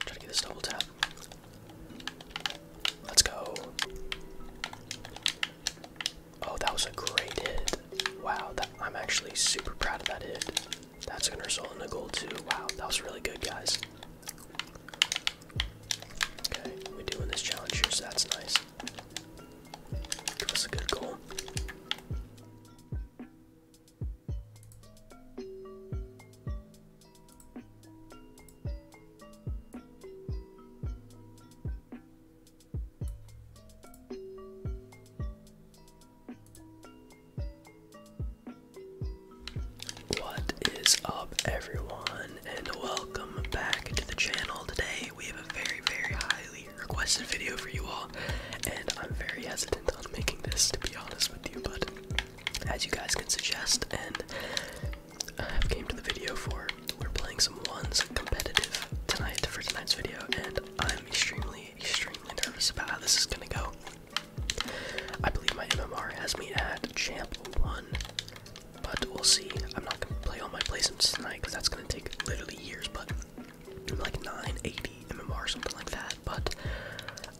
Try to get this double tap. Let's go. Oh, that was a great hit. Wow, that, I'm actually super proud of that hit. That's going to result in a goal, too. Wow, that was really good, guys. Okay, we're doing this challenge here, so that's nice. Give us a good goal. What is up, everyone, and welcome back to the channel. Today, we have a very, very highly requested video for you all and I'm very hesitant on making this to be honest with you, but as you guys can suggest, and I have came to the video for, we're playing some ones competitive tonight for tonight's video, and I'm extremely, extremely nervous about how this is gonna go. I believe my MMR has me at champ one, but we'll see. I'm not gonna play all my placements tonight because that's gonna take literally years, but like nine, MMR or something like that. But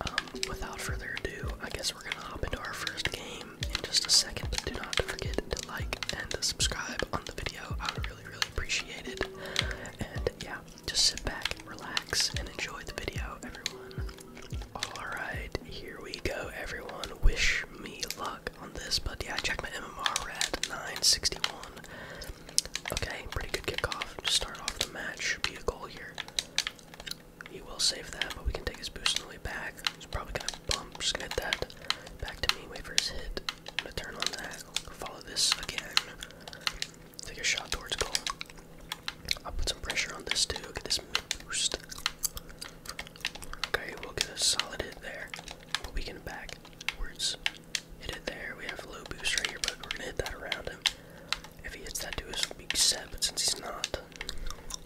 um, without further ado, I guess we're gonna hop into our first game in just a second. But do not forget to like and subscribe on the video. I would really, really appreciate it. And yeah, just sit back, relax, and enjoy the video, everyone. Alright, here we go, everyone. Wish me luck on this, but yeah, I checked my MMR at 961. Okay, pretty good kickoff. Just start off the match. Should be a goal here. He will save that, but we can take his boost on the way back. He's probably gonna bump. just gonna hit that back to me. Wait for his hit. I'm gonna turn on that. Follow this again. Take a shot towards goal. I'll put some pressure on this too. Get this mid boost. Okay, we'll get a solid hit there. But we can backwards. Hit it there. We have a little boost right here, but we're gonna hit that around him. If he hits that to us, weak set, but since he's not,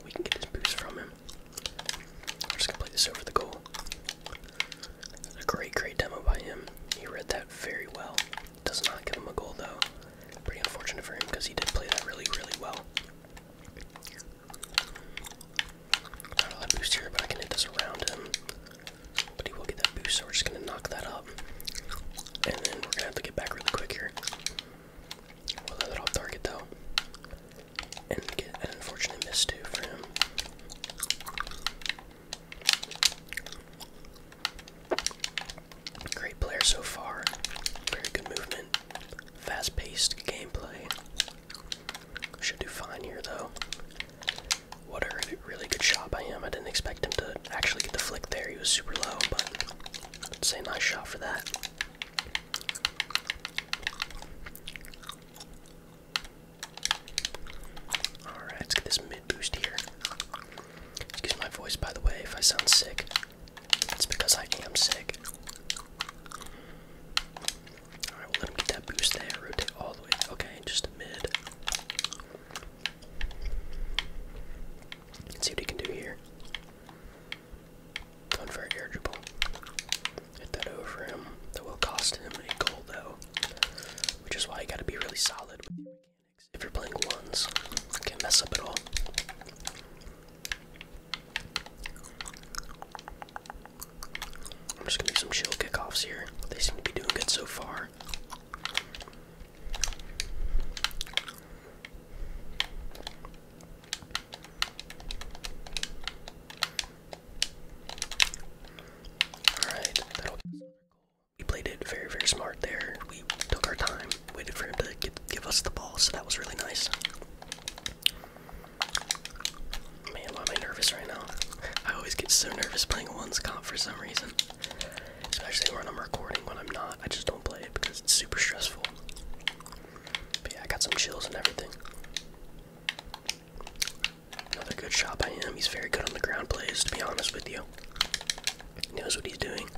we can get this boost from him. I'm just gonna play this over the goal. A great, great demo by him. He read that very well. Does not give him a goal though. Pretty unfortunate for him because he did play that really, really well. Not a boost here, but I can hit this around him. But he will get that boost, so we're just gonna knock that up. And then we're gonna have to get back really quick here. We'll let it off target though. And get an unfortunate miss too for him. Great player so far. Very good movement. Fast paced gameplay. Should do fine here though. What a really good shot by him. I didn't expect him to actually get the flick there. He was super low, but I'd say nice shot for that. Alright, let's get this mid boost here. Excuse my voice, by the way, if I sound sick. It's because I am sick. Alright, let him get that boost there. Rotate all the way. Okay, just mid. Let's see what he can do here. Unfair air dribble. Hit that over him. That will cost him a goal though. Which is why you gotta be really solid with your mechanics. If you're playing ones, can mess up at all. I'm just gonna do some chill kickoffs here. They seem to be doing good so far. Alright, that'll we played it very, very smart there. We took our time, waited for him to give us the ball, so that was really nice. Man, why am I nervous right now? I always get so nervous playing one's comp for some reason. Especially when I'm recording, when I'm not, I just don't play it because it's super stressful. But yeah, I got some chills and everything. Another good shot by him. He's very good on the ground plays, to be honest with you. knows what he's doing.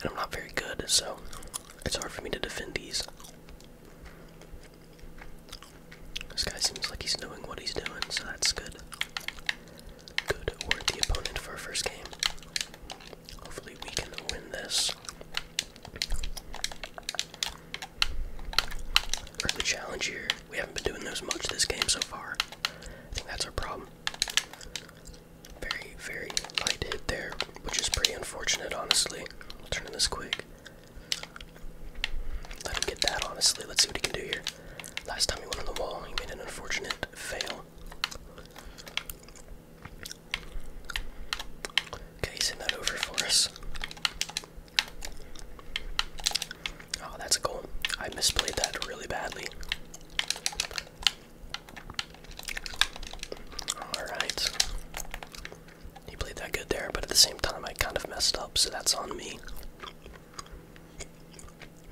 And I'm not very good, so it's hard for me to defend these. This guy seems like he's knowing what he's doing, so that's good good worthy opponent for our first game. Hopefully, we can win this. Early challenge here. We haven't been doing those much this game so far. I think that's our problem. Very, very light hit there, which is pretty unfortunate, honestly. We'll turn this quick. Let him get that, honestly. Let's see what he can do here. Last time he went on the wall, he made an unfortunate fail. Okay, send that over for us. Oh, that's a goal. I misplayed that really badly. Alright. He played that good there, but at the same time I kind of messed up, so that's on me.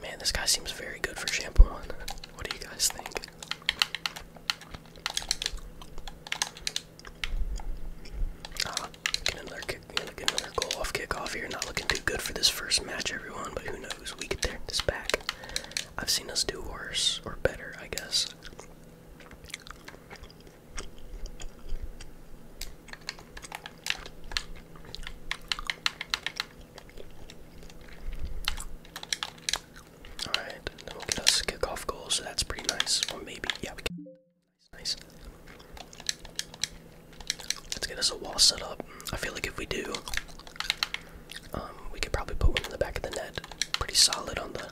Man, this guy seems very good for shampooing. What do you guys think? Ah, get kickoff here. Not looking too good for this first match, everyone. But who knows? We get this back. I've seen us do worse or better, I guess. Alright, that will get us a kickoff goal. so that's pretty nice. Or maybe, yeah, we can. Nice. Let's get us a wall set up. I feel like if we do, um, we could probably put one in the back of the net. Pretty solid on the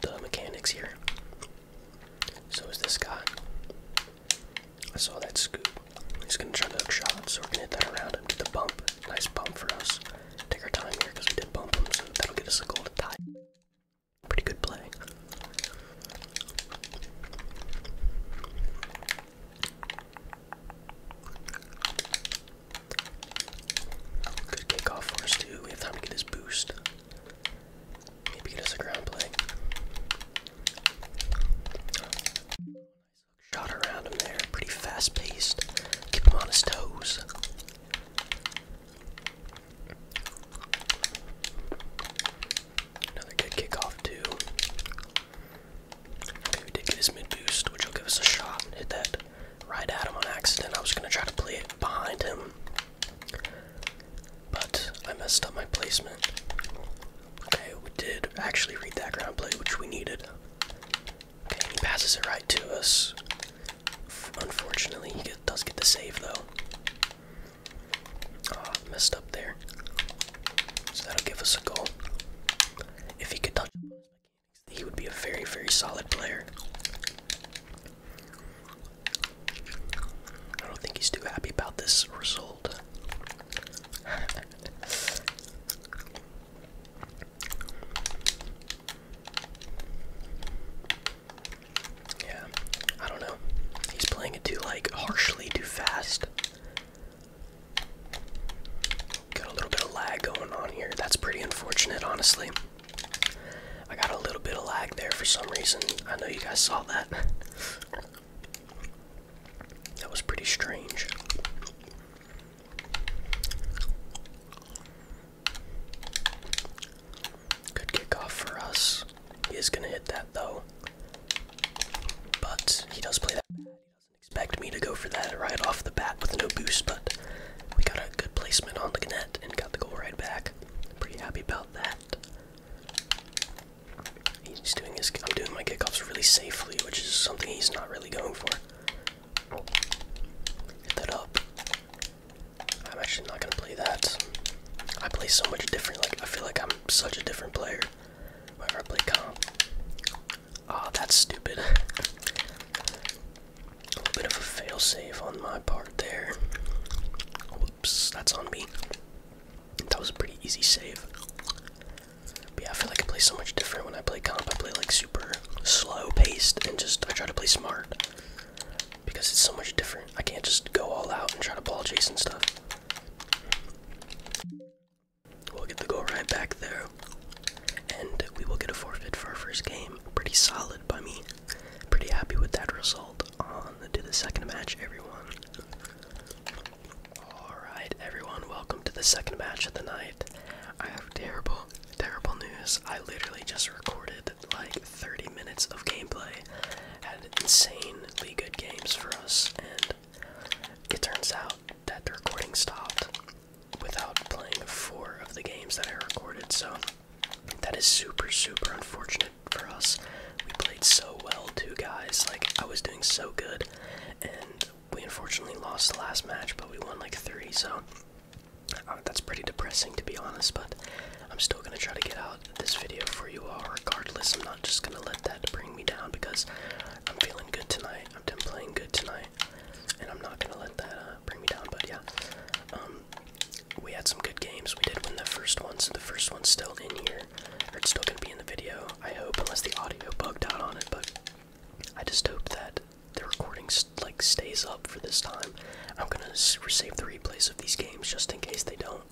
the mechanics here. So is this guy. I saw that scoop. He's gonna try to hook shots, so we're gonna hit that around him, do the bump. Nice bump for us. Take our time here because we did bump him, so that'll get us a goal tie. Pretty good play. Good kickoff for us too. We have time to get his boost. Maybe get us a ground play. Shot around him there, pretty fast paced. Keep him on his toes. Another good kickoff, too. Okay, did get his mid boost, which will give us a shot. Hit that right at him on accident. I was going to try to play it behind him, but I messed up my placement. Okay, we did actually read that ground play, which we needed. Okay, he passes it right to us. unfortunately, he does get the save though. Ah, oh, messed up there. So that'll give us a goal. If he could touch, he would be a very, very solid player. I don't think he's too happy about this result. yeah, I don't know. He's playing it too like harshly, too fast. Got a little bit of lag going on here. That's pretty unfortunate, honestly. I got a little bit of lag there for some reason. I know you guys saw that. That was pretty strange. Good kickoff for us. He is going to hit that though. But he does play that He doesn't expect me to go for that right off the bat with no boost, but we got a good placement on the net and got the goal right back. Pretty happy about that. He's doing his. I'm doing my kickoffs really safely, which is something he's not really going for. Hit that up. I'm actually not gonna play that. I play so much different. Like I feel like I'm such a different player whenever I play calm. Ah, oh, that's stupid. a little bit of a fail save on my part there. Whoops, that's on me. That was a pretty easy save. yeah, I feel like I play so much different when I play comp. I play like super slow paced and just I try to play smart because it's so much different. I can't just go all out and try to ball chase and stuff. We'll get the goal right back there. And we will get a forfeit for our first game. Pretty solid by me. Pretty happy with that result. On to the second match, everyone. Alright, everyone, welcome to the second match of the night. I have terrible, terrible news. I literally just recorded like 30 minutes of gameplay. Had insanely good games for us, and it turns out that the recording stopped without playing four of the games that I recorded, so that is super, super unfortunate for us. We played so well, too, guys. Like, I was doing so good, and we unfortunately lost the last match, but we won like three, so uh, that's pretty depressing to be honest. But I'm still gonna try to get out this video for you all, regardless. I'm not just gonna let that bring me down because I'm feeling good tonight. i am playing good tonight, and I'm not gonna let that uh, bring me down. But yeah, um, we had some good games. We did win the first one, so the first one's still in here it's still gonna be in the video, I hope, unless the audio bugged out on it, but I just hope that the recording like stays up for this time. I'm gonna save the replays of these games just in case they don't,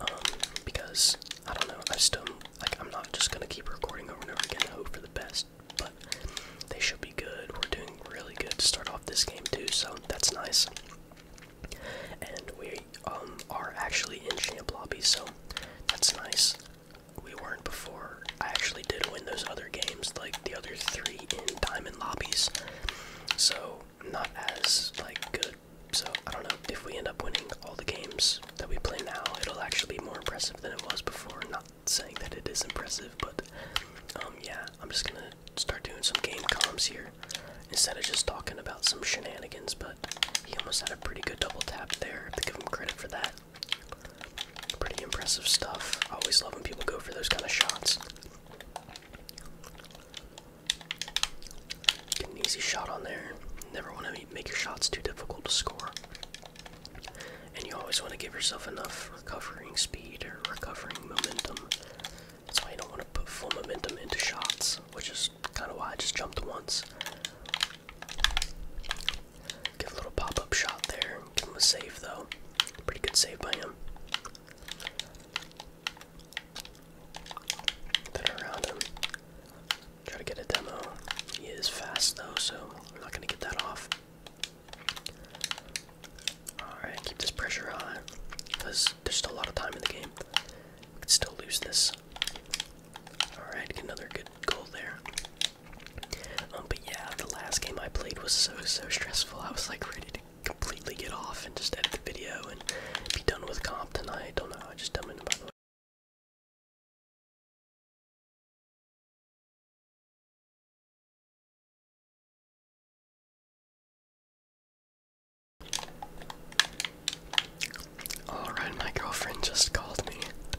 um, because I don't know. I still like I'm not just gonna keep recording over and over again. I hope for the best, but they should be good. We're doing really good to start off this game too, so that's nice. And we um, are actually in champ lobby, so that's nice we weren't before. I actually did win those other games, like the other three in diamond lobbies. So not as like good. So I don't know if we end up winning all the games that we play now, it'll actually be more impressive than it was before. Not saying that it is impressive, but um yeah, I'm just gonna start doing some game comms here instead of just talking about some shenanigans. But he almost had a pretty good double tap there. to give him credit for that. Pretty impressive stuff. always love when people go for those kind of shots. Get an easy shot on there. Never want to make your shots too difficult to score. And you always want to give yourself enough recovering speed or recovering momentum. That's why you don't want to put full momentum into shots, which is kind of why I just jumped once. Give a little pop-up shot there. Give him a save though. Pretty good save by him. Then around him. Try to get a demo. He is fast though, so we're not gonna get that off. Alright, keep this pressure on. Because there's still a lot of time in the game. We could still lose this. Alright, another good goal there. Um, but yeah, the last game I played was so, so stressful. I was like ready to completely get off and just edit the video and be done with comp tonight. don't know, I just dumb in by the way. Alright, my girlfriend just called me.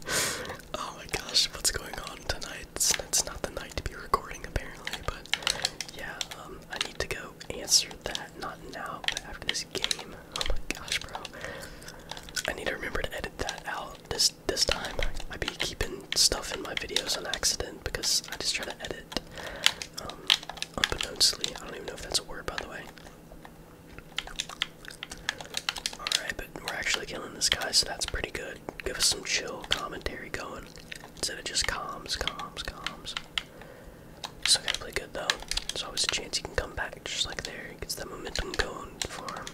oh my gosh, what's going on tonight? It's, not the night to be recording, apparently, but yeah, um, I need to go answer that. Not now, but after this game. Oh my gosh, bro. I need to remember to edit that out this this time. I be keeping stuff in my videos on accident because I just try to edit um, unbeknownstly. I don't even know if that's a word, by the way. Alright, but we're actually killing this guy, so that's pretty good. Give us some chill commentary going. Instead of just comms, comms, comms. Still gotta play good though. There's always a chance he can come back just like there. He gets that momentum going for him.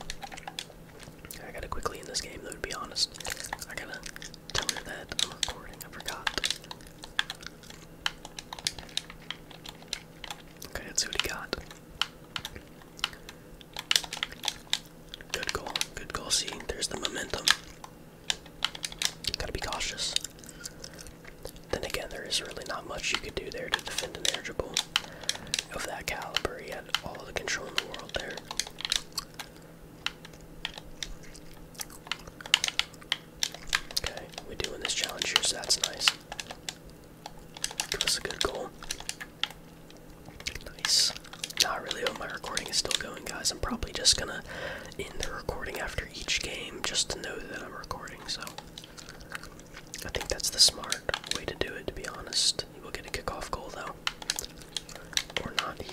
I gotta quickly end this game though to be honest. I gotta tell her that I'm recording, I forgot. Okay, let's see what he got. Good goal. Good goal. See, there's the momentum. Gotta be cautious. Then again, there is really not much you could do there to defend an air dribble of that caliber. He had all the control in the world there. Okay, we're doing this challenge here, so that's nice. That was a good goal. Nice. Not really, but my recording is still going, guys. I'm probably just gonna end the recording after each game just to know that I'm recording, so. I think that's the smart way to do it, to be honest. He will get a kickoff goal, though. Or not. he,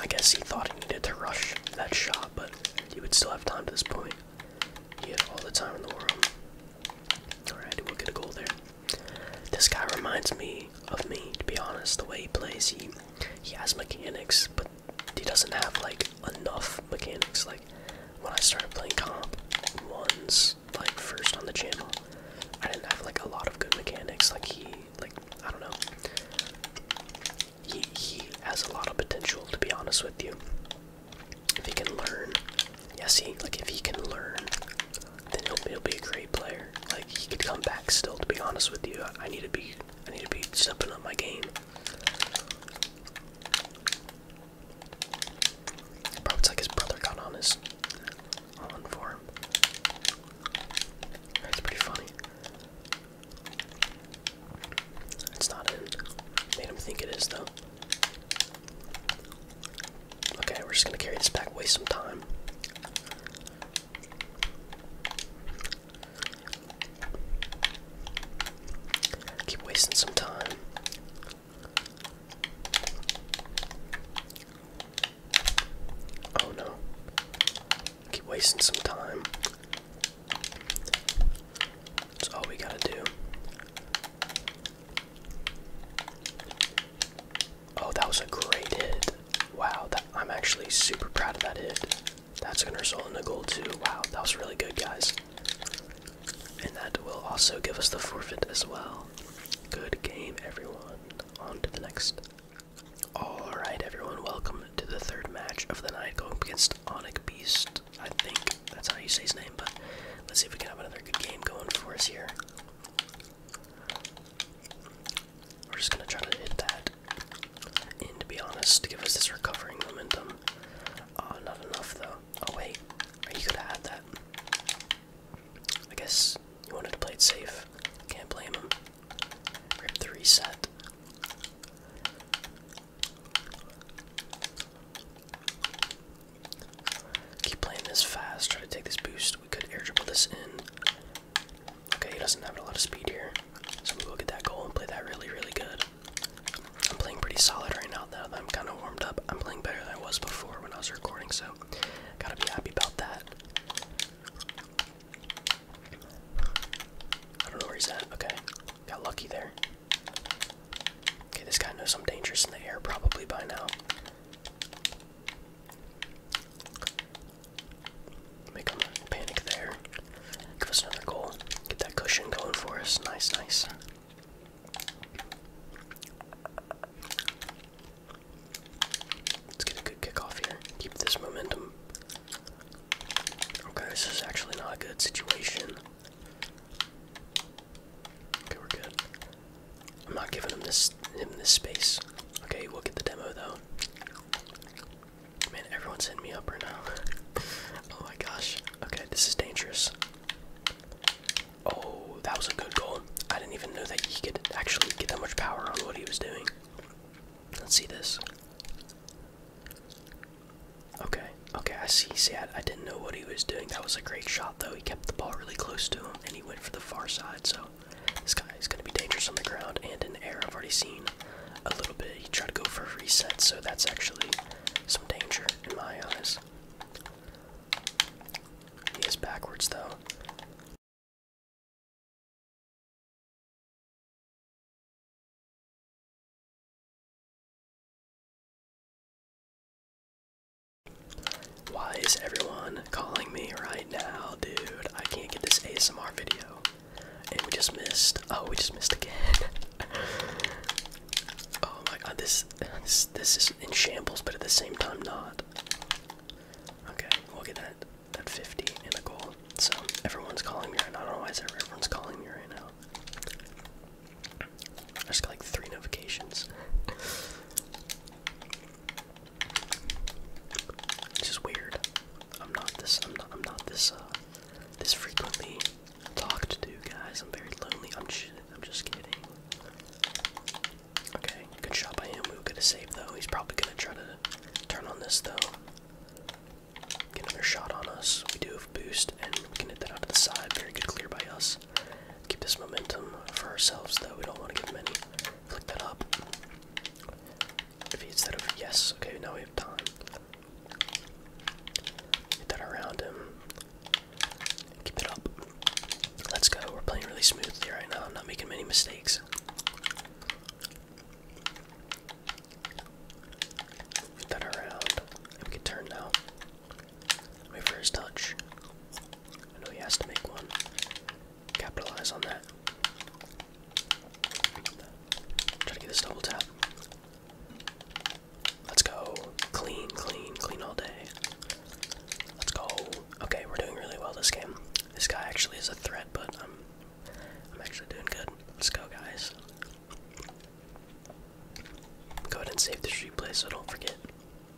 I guess he thought he needed to rush that shot, but he would still have time to this point. He had all the time in the world. Alright, we'll get a goal there. This guy reminds me of me, to be honest. The way he plays, he he has mechanics, but he doesn't have like enough mechanics. Like when I started playing comp ones, like first on the channel, I didn't have like a lot of good mechanics. Like he, like I don't know. He he has a lot of potential, to be honest with you. If he can learn, yeah. See, like if he can learn, then he'll, be a great player. Like he could come back still. To be honest with you, I, need to be, I need to be stepping up my game. Probably it's like his brother got on his on for That's pretty funny. It's not in. Made him think it is though. Okay, we're just gonna carry this back, waste some time. Keep wasting some time. Oh no. Keep wasting some time. That's all we gotta do. Oh, that was a great hit. Wow, I'm actually super proud of that hit. That's going to result in a goal, too. Wow, that was really good, guys. And that will also give us the forfeit as well. Good game, everyone. On to the next. Alright, everyone, welcome to the third match of the night going against Onic Beast. I think that's how you say his name, but let's see if we can have another good game going for us here. We're just gonna try to hit that. in to be honest, to give us this recovering momentum. Oh, not enough though. Oh wait, are you gonna have that? I guess you wanted to play it safe. Can't blame him. Rip the reset. Keep playing this fast. Try to take this boost. We could air dribble this in. Okay, he doesn't have a lot of speed here. So we will get that goal and play that really, really good. I'm playing pretty solid right now that I'm kind of warmed up. I'm playing better than I was before when I was recording, so gotta be happy about that. I don't know where he's at. Okay, got lucky there. Okay, this guy knows I'm dangerous in the air probably by now. Make him panic there. Give us another goal. Get that cushion going for us. Nice, nice. Let's get a good kick off here. Keep this momentum. Okay, this is actually not a good situation. Okay, we're good. I'm not giving him this him this space. Okay, we'll get the demo though. Man, everyone's hitting me up right now. oh my gosh. Okay, this is dangerous. Oh, that was a good goal. I didn't even know that he could actually get that much power on what he was doing. Let's see this. Okay, okay, I see. See, I didn't know what he was doing. That was a great shot, though he kept the ball really close to him, and he went for the far side. So this guy is going to be dangerous on the ground and in the air. I've already seen a little bit. He tried to go for a reset, so that's actually some danger in my eyes. He is backwards, though. Why is everyone calling me right now, dude? I can't get this ASMR video. And we just missed. Oh, we just missed again. oh my god, this, this this is in shambles, but at the same time not. Okay, we'll get that that 50 in the goal. So everyone's calling me right now. I don't know why everyone's calling me right now. I just got like three notifications. This is weird. I'm not this. I'm not. I'm not this. Uh, this frequently talked to, guys. I'm very lonely. I'm just. I'm just kidding. Okay, good shot by him. We will get a save though. He's probably gonna try to turn on this though. Get another shot on us. We do have boost, and we can hit that out to the side. Very good clear by us. Keep this momentum for ourselves, though. We don't want to give many. any. Flick that up. If he hits that over, yes. Okay, now we have time. Get that around him. Keep it up. Let's go. We're playing really smoothly right now. I'm not making many mistakes. Get that around. And we can turn now. My first touch. I know he has to make one. Capitalize on that. Try to get this double tap. Let's go. Clean, clean, clean all day. Let's go. Okay, we're doing really well this game. This guy actually is a threat, but I'm I'm actually doing good. Let's go guys. Go ahead and save the replay so don't forget.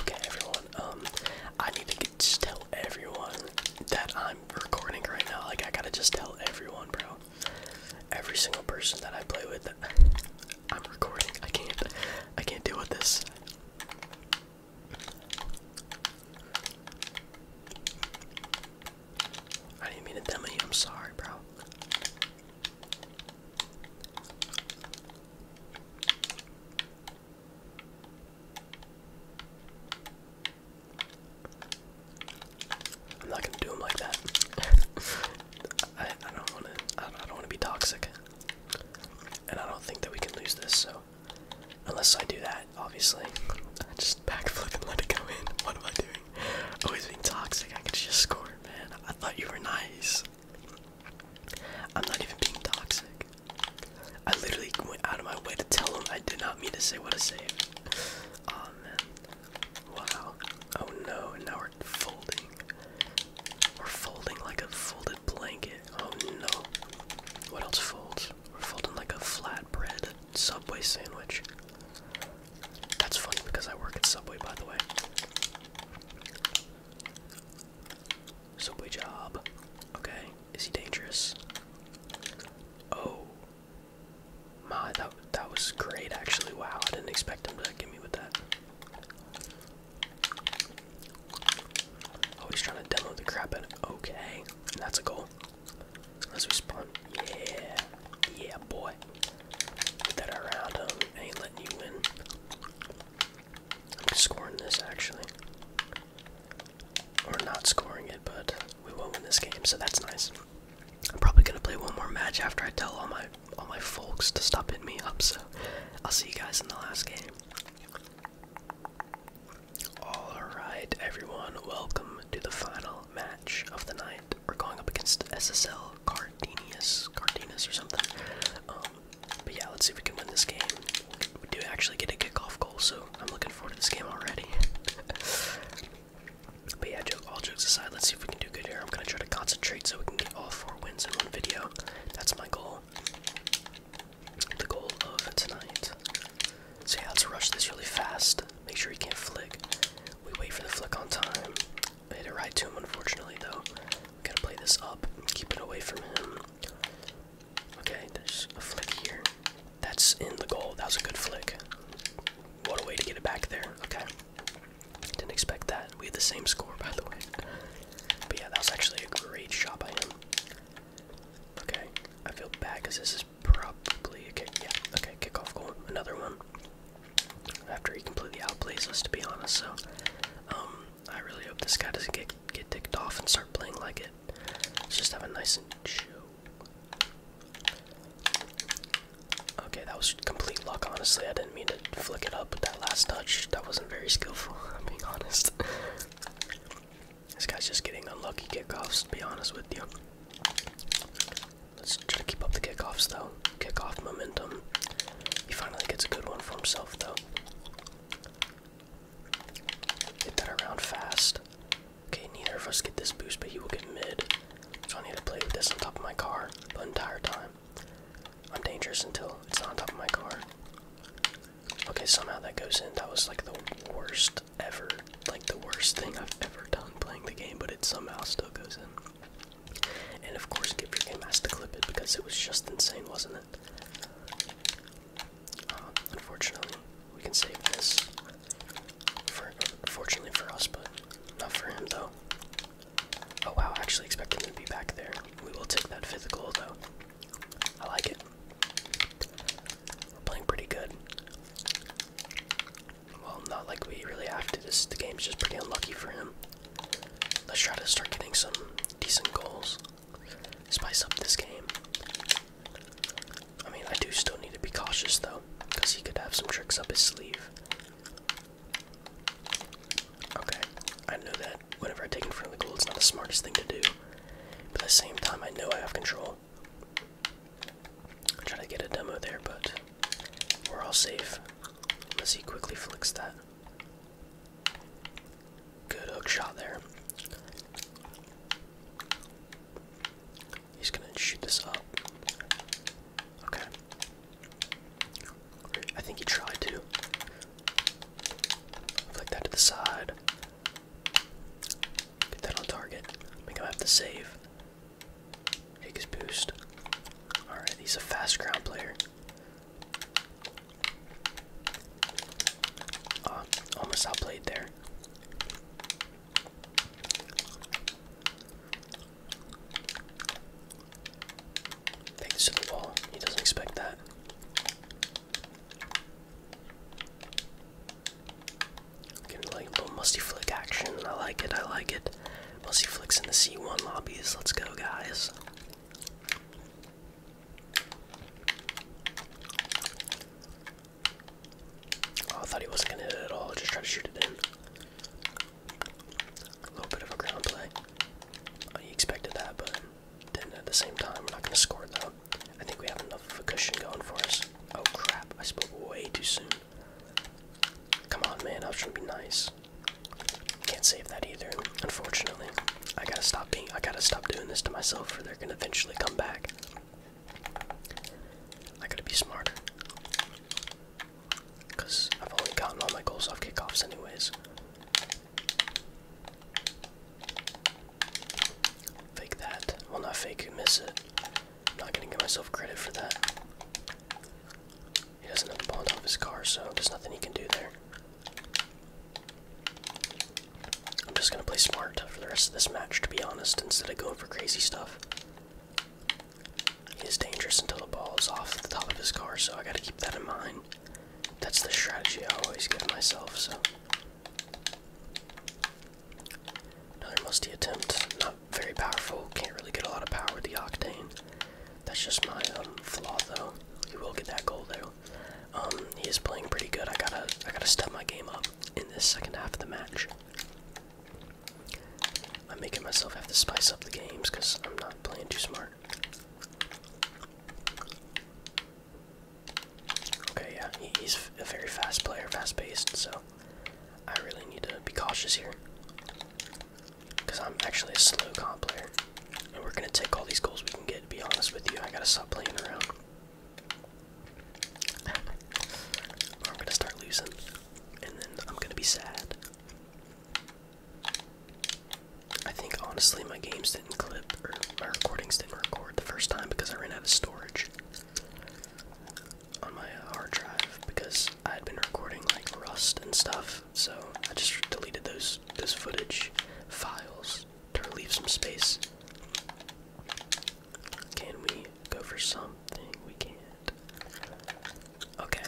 Okay, everyone. Um, I need to just tell everyone that I'm recording right now. Like, I gotta just tell everyone, bro. Every single person that I play with, I'm recording. I can't, I can't deal with this. I didn't mean to dummy. I'm sorry, bro. I'm not gonna do him like that. I, don't want to. I, don't want to be toxic, and I don't think that we can lose this. So, unless I do that, obviously, I just backflip and let it go in. What am I doing? Always being toxic. I could just score, man. I thought you were nice. I'm not even being toxic. I literally went out of my way to tell him I did not mean to say what I said. Oh man. Wow. Oh no, and now we're folding. We're folding like a folded blanket. Oh no. What else folds? We're folding like a flatbread Subway sandwich. That's funny because I work at Subway, by the way. Subway job. Okay. Is he dangerous? Oh. My, that, that was great actually. Wow, I didn't expect him to get me with that. Oh, he's trying to demo the crap out of Okay. That's a goal. Let's respawn. Yeah. Yeah, boy. Put that around Ain't letting you win. I'm scoring this actually. Or not scoring it, but we will win this game, so that's nice. I'm probably gonna play one more match after I tell all my all my folks to stop hitting me up, so I'll see you guys in the last game. Alright everyone, welcome to the final match of the night. We're going up against SSL Cardenius, Cardenius or something. Um, but yeah, let's see if we can win this game. We do actually get a kickoff goal, so I'm looking forward to this game already. but yeah, joke, all jokes aside, let's see if we can do good here. I'm gonna try to concentrate so we can get all four wins in one video. That's my goal. The goal of tonight. So yeah, let's rush this really fast. Make sure he can't flick. We wait for the flick on time. Had it right to him, unfortunately, though. We gotta play this up. Keep it away from him. Okay, there's a flick here. That's in the goal. That was a good flick. What a way to get it back there. Okay. Didn't expect that. We had the same score, by the way. But yeah, that was actually a great shot by him. Okay, I feel bad because this is probably a kick. Yeah, okay, kickoff goal. Another one after he completely outplays us, to be honest. So, um, I really hope this guy doesn't get get ticked off and start playing like it. Let's just have a nice and chill. Okay, that was complete luck, honestly. I didn't mean to flick it up, but that last touch, that wasn't very skillful, I'm being honest. this guy's just getting unlucky kickoffs, to be honest with you. Let's try to keep up the kickoffs, though kick off momentum. He finally gets a good one for himself, though. Hit that around fast. Okay, neither of us get this boost, but he will get mid. So I need to play with this on top of my car the entire time. I'm dangerous until it's not on top of my car. Okay, somehow that goes in. That was like the worst ever, like the worst thing I've ever done playing the game, but it somehow still goes in. And of course, give your game has to clip it because it was just insane, wasn't it? Uh, unfortunately, we can save this. fortunately for us, but not for him though. Oh wow, actually expect him to be back there. We will take that physical though. I like it. We're playing pretty good. Well, not like we really have to. This the game's just pretty unlucky for him. Let's try to start getting some decent goals. Spice up this game. I mean, I do still need to be cautious though, because he could have some tricks up his sleeve. Okay, I know that whenever I take in front of the goal, it's not the smartest thing to do. But at the same time, I know I have control. I'll try to get a demo there, but we're all safe. Unless he quickly flicks that. Good hook shot there. He's gonna shoot this up. Okay. I think he tried to. Flick that to the side. Get that on target. I think I have to save. Take his boost. Alright, he's a fast ground player. Uh, almost outplayed there. Thanks to the wall. He doesn't expect that. Getting little musty flick action. I like it. I like it. Musty flicks in the C1 lobbies. Let's go, guys. Oh, I thought he wasn't gonna hit it at all. Just try to shoot it in. A little bit of a ground play. Oh, he expected that, but then at the same time, we're not gonna score though. I think we have enough of a cushion going for us. Oh crap! I spoke way too soon. Come on, man. I was trying to be nice. Can't save that either, unfortunately. I gotta stop being I gotta stop doing this to myself or they're gonna eventually come back. I gotta be smarter. Cause I've only gotten all my goals off kickoffs anyways. Fake that. Well not fake, miss it. I'm not gonna give myself credit for that. He doesn't have the ball off his car, so there's nothing he can do there. I'm just gonna play smart for the rest of this match, to be honest, instead of going for crazy stuff. he's dangerous until the ball is off the top of his car, so I gotta keep that in mind. That's the strategy I always give myself, so. Another musty attempt. Not very powerful. Can't really get a lot of power with the Octane. That's just my um, flaw, though. He will get that goal, though. Um, he is playing pretty good. I gotta, I gotta step my game up in this second half of the match. I'm making myself have to spice up the games because I'm not playing too smart. Okay, yeah, he's a very fast player, fast-paced, so I really need to be cautious here. Because I'm actually a slow comp player. And we're going to take all these goals we can get, to be honest with you. I got to stop playing around. I'm going to start losing. And then I'm going to be sad. I think, honestly, my games didn't clip, or my recordings didn't record the first time because I ran out of storage on my uh, hard drive because I had been recording like Rust and stuff, so I just deleted those this footage files to leave some space. Can we go for something? We can't. Okay.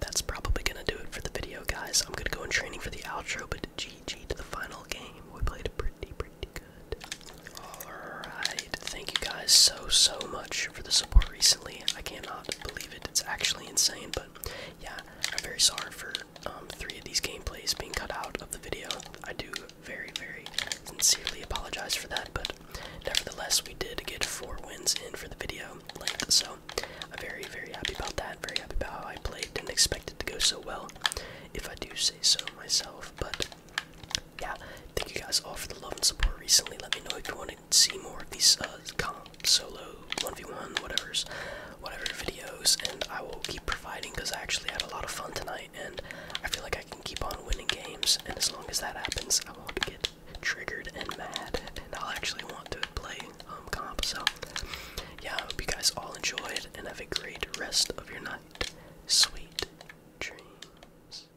That's probably gonna do it for the video, guys. I'm gonna go in training for the outro, but GG to the final game. We played pretty, pretty good. Alright, thank you guys so, so much for the support recently. I cannot believe it. It's actually insane, but yeah, I'm very sorry for um, three of these gameplays being cut out of the video. I do very, very sincerely apologize for that, but nevertheless, we did get four wins in for the video length, so I'm very, very happy about that. Very happy about how I played. Didn't expect it to go so well, if I do say so myself, but yeah, thank you guys all for the love and support recently. Let me know if you want to see more of these uh, solo 1v1 whatever's whatever videos and I will keep providing because I actually had a lot of fun tonight and I feel like I can keep on winning games and as long as that happens I won't get triggered and mad and I'll actually want to play um, comp so yeah I hope you guys all enjoyed and have a great rest of your night. Sweet dreams.